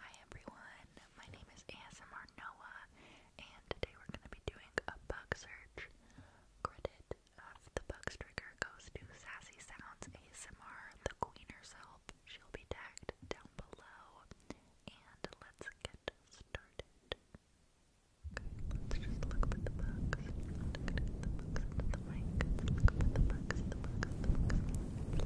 Hi everyone, my name is ASMR Noah, and today we're going to be doing a bug search. Credit of the bugs trigger goes to Sassy Sounds ASMR, the queen herself. She'll be tagged down below, and let's get started. let's just look at the bugs. Look at the bugs at the mic. Let's look at the bugs.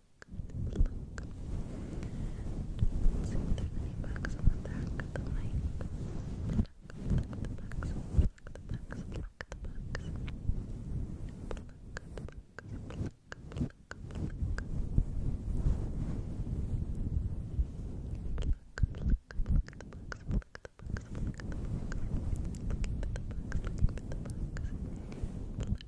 look. See if there's any bugs on the back of the mic. Pluck, pluck the bugs, pluck the bugs, pluck the bugs. Pluck, pluck, pluck, pluck, pluck. Pluck, pluck, pluck the bugs, pluck the bugs, pluck the bugs. Looking for the bugs, looking for the bugs. Pluck,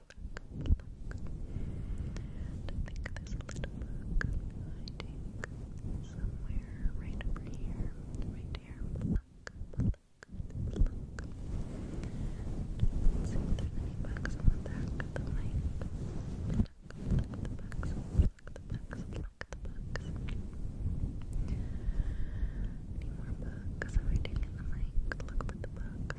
look, look. I think there's a little book hiding somewhere right over here, right here. Look, look, look. Let's see if there's any bugs on the back of the mic. Look, look the bugs, look the bugs, look the bugs. Any more bugs hiding in the mic? Look for the bugs.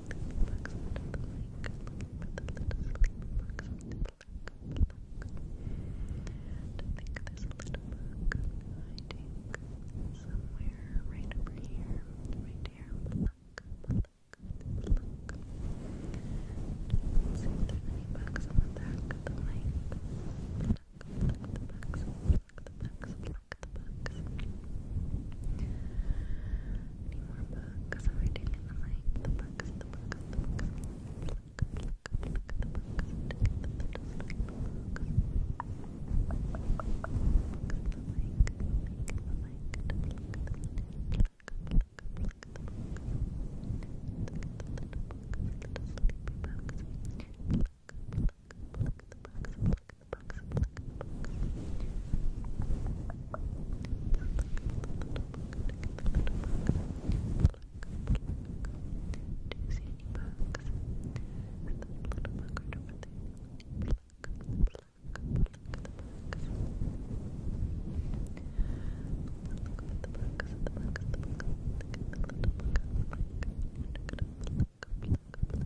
sleepy bugs under the lake. Looking for the little sleepy bugs on the lake. Look. I think there's a little bug hiding somewhere right over here. Right here. Look. Look. Look. Let's see if there's any bugs on the back of the lake. Look. Look the bugs. Look the bugs. Look the bugs. Any more books? I'm reading in the mic. the box, look at the box. Just look at the little book, look at the little book. Look, look. Do you see any bugs? Is that little bug right over there? Look, look, look at the bugs. Look at the bugs, the bugs, the bugs. Look at the little bugs. Look, look, look, look.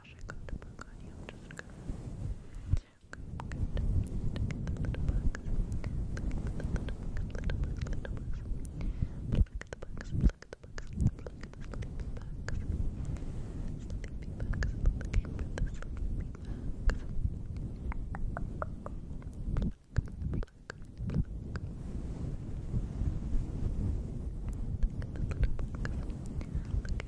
washing of the book on you. I'm just gonna. Good. Take the little bugs. Look at the little bugs, little bugs, little bugs. Look at the bugs, look at the bugs, look at the sleepy bugs. Sleepy bugs, looking for the sleepy bugs. Pluck, pluck, pluck. Look at the little bugs. Look at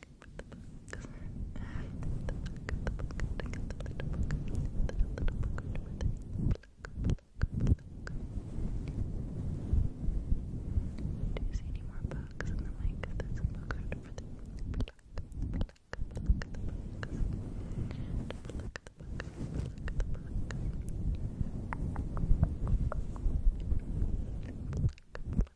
Do you see any more bugs in the mic? There's a bug right over there. Pluck, pluck the bugs. Pluck the bugs. Pluck the bugs. Pluck, pluck.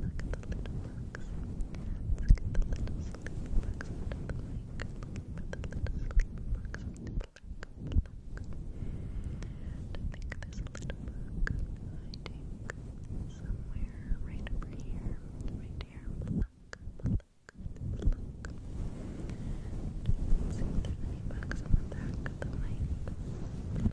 look, look at the little bugs. Look at the little sleep bugs under the lake. Look at the little sleep bugs under the lake. Look. I think there's a little bug hiding somewhere right over here. Right here. Look, look, look. Let's see if there's any bugs on the back of the mic.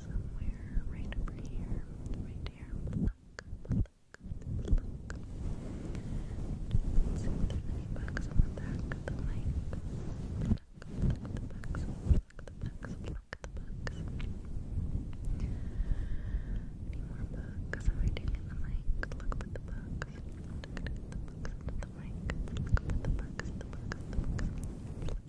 somewhere right over here, right here. Pluck, pluck, pluck. see if there's any bugs on the back of the mic. Pluck, pluck the bugs, pluck the bugs, pluck the bugs. Any more bugs hiding in the mic? Look for the bugs. Look the bugs under the mic. Look for the bugs, the the bugs.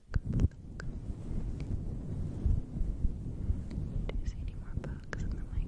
Do you see any more bugs in the mic?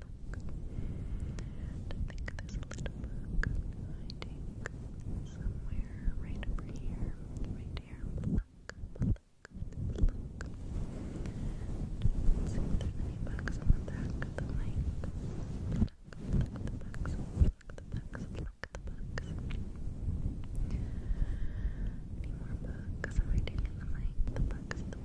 book. And think there's a little book hiding somewhere right over here. Right here. Pluck, pluck, pluck. see there's any bugs on the back of the mic. Pluck, pluck the bugs, pluck the bugs, pluck the bugs. Any more bugs hiding in the mic? The bugs, the bugs, the bugs.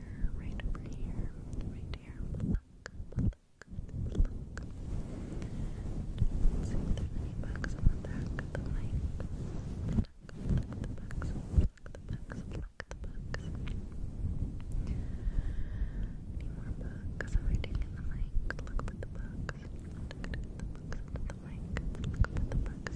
here, right over here, right here. Pluck, pluck, pluck. see if there are any bugs on the back of the mic. Pluck, pluck the bugs, pluck the bugs, pluck the bugs. Any more bugs hiding in the mic? Look at the bugs. Look at the bugs Look at the bugs,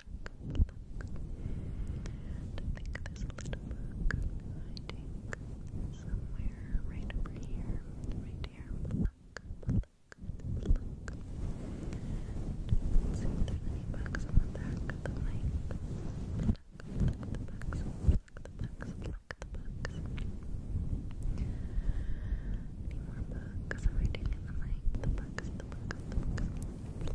look, look. I think there's a little book hiding somewhere right over here, right here. Look, look, look. see if there's any bugs on the back of the mic. Look, look, the bugs, look, the bugs, look, the bugs. Any more bugs hiding in the mic? The bugs, the bugs, the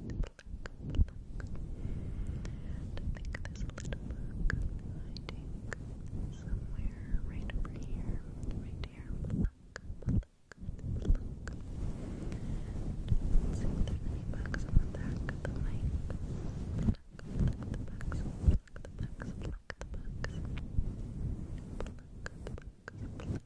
pluck, pluck. think there's a little book hiding somewhere right over here, right here. Pluck, pluck, pluck. Let's see if there's any on the back of the mic. Pluck, pluck the bugs, pluck the bugs, pluck the bugs.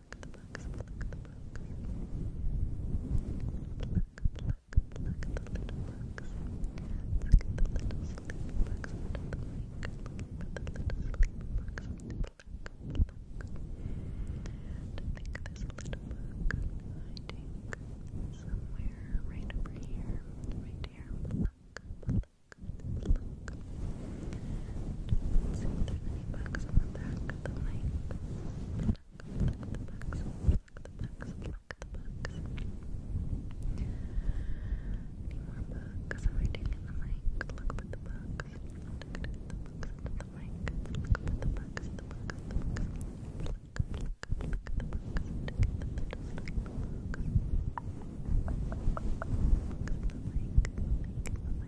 pluck the bugs, pluck the bugs. Pluck, pluck, pluck the little bugs. Look at the little sleep bugs under the mic. Look at the little sleep bugs. Pluck, pluck. I think there's a little bug hiding somewhere right over here. Right here. Pluck, pluck, pluck see if there's any bugs on the back of the mic. Pluck, pluck the bugs, pluck the bugs, pluck the bugs. Any more bugs hiding in the mic? Look for the bugs. Look at the bugs under the mic. Look for the bugs, the bugs, the bugs. Pluck, pluck, pluck the bugs. Look at the bugs, the bugs. Bugs in the mic, mic in the mic.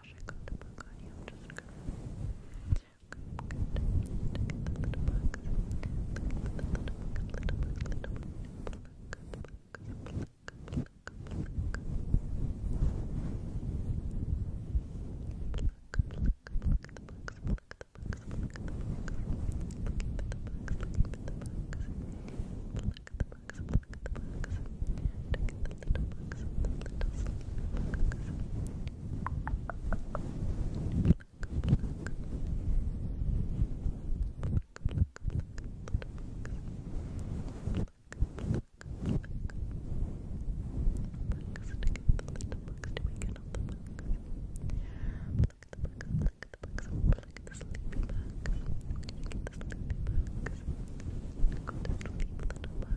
gosh, I got the book on you. I'm just gonna. Good, good. Take the little box. Little, little book, little book, little book. Pluck, pluck, pluck, pluck. Pluck, pluck, pluck the box, pluck the box, pluck the box. Look at the box, look at the box. Pluck the box, pluck the box. Take the little bugs, the little sleepy bugs. Pluck, pluck. Pluck, pluck, pluck, little bugs. Pluck, pluck, pluck. Bugs to get the little bugs to weaken up the bugs. Pluck the bugs, pluck the bugs, pluck the sleepy bugs. You get the sleepy bugs. Go to sleep, little bugs.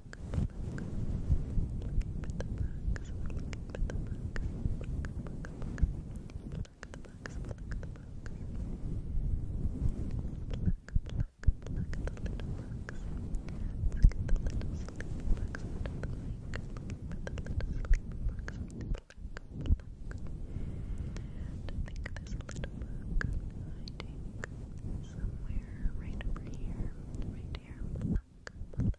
think there's somewhere right over here, right here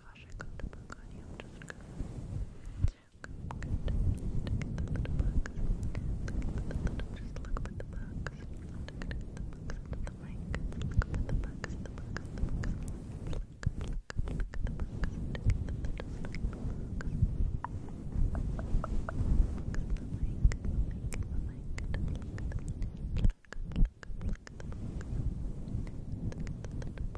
gosh, I got a bug on you. I'm just gonna. Okay, good. Look at the little bugs. Just look at the bugs. I'm gonna get the bugs into the mic. Look at the bugs, the bugs, the bugs. Look, look, look at the bugs. Just look at the bugs. Look at the mic. Look at the mic. Just look at the mic. Look, look, look, look at the bugs. Look at the little bugs.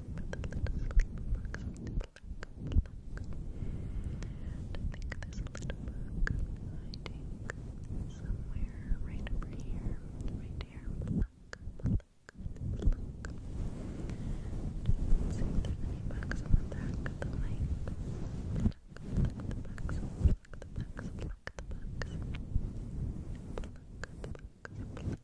think there's a little bug hiding somewhere right over here, right here. Pluck, pluck, pluck. Let's see if there's any bugs on the back of the mic. Pluck, pluck the bugs, pluck the bugs, pluck the bugs. Pluck, pluck, pluck.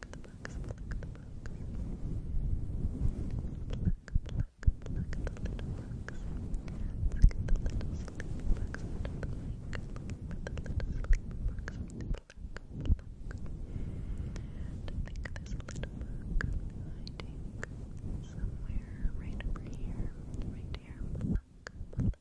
pluck the bugs, pluck the bugs. Pluck, pluck, pluck the little bugs. Let's get the little sleepy bugs out of the way. Look at the little sleepy bugs. Pluck, pluck. And I think there's a little bug hiding somewhere right over here. Right here. Pluck, pluck.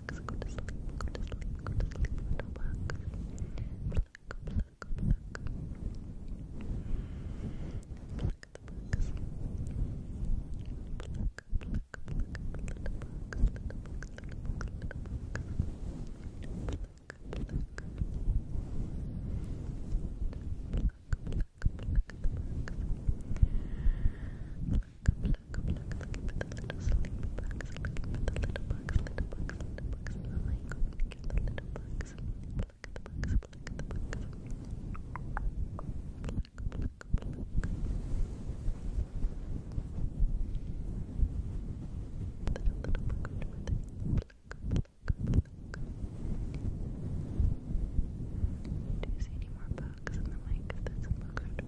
box. Go to sleep. Go to sleep. Go to sleep. Little box. Pluck, pluck, pluck. Pluck the box. Pluck, pluck, pluck. Little box. Little box. Little box. Little box. Pluck, pluck. Pluck, pluck, pluck the box. Pluck, Look, Do you see any more bugs in the mic? If a bug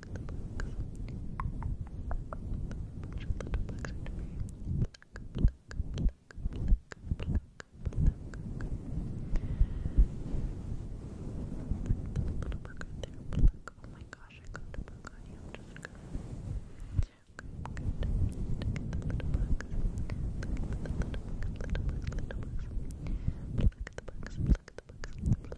Oh my gosh, I got the bug on you. I'm just gonna. Okay, good. Look at the little bugs. Look at the little bugs, little bugs, little bugs. Pluck the bugs, pluck the bugs, pluck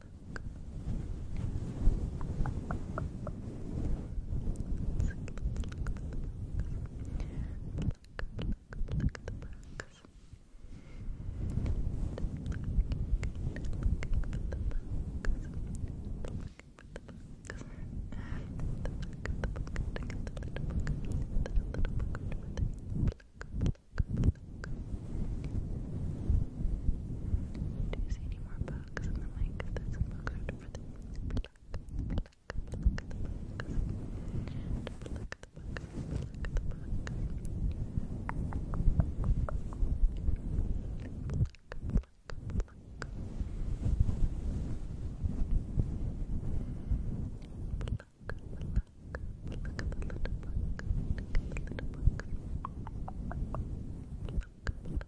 Do you see any more bugs? plugs in the mic. That's a plug for the plug, plug, plug the plugs. Plug the plug, plug the plug. Plug, plug, plug. Plug, plug. Look at the little book. Look at the little book. Look, look,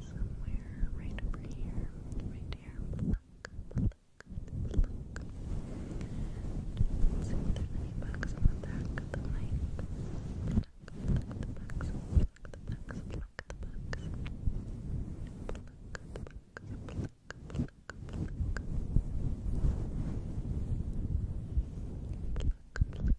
somewhere right over here, right here. Pluck, pluck, pluck. Let's see if there's any bugs on the back the mic. Pluck, pluck the bugs, pluck the the bugs. Pluck,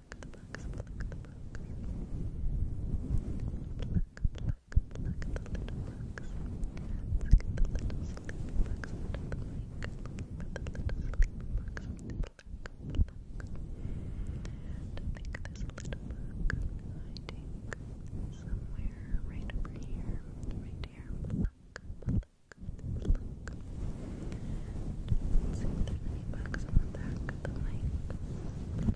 pluck the box, pluck the box. Pluck, pluck, pluck the little box. Let's get the little sleepy box out of the way. Put the little sleepy box on the pluck, pluck. Don't think there's a little bug hiding somewhere right over here. Right here. Pluck, pluck. Pluck. Let's see if there's any bugs on the back of the mic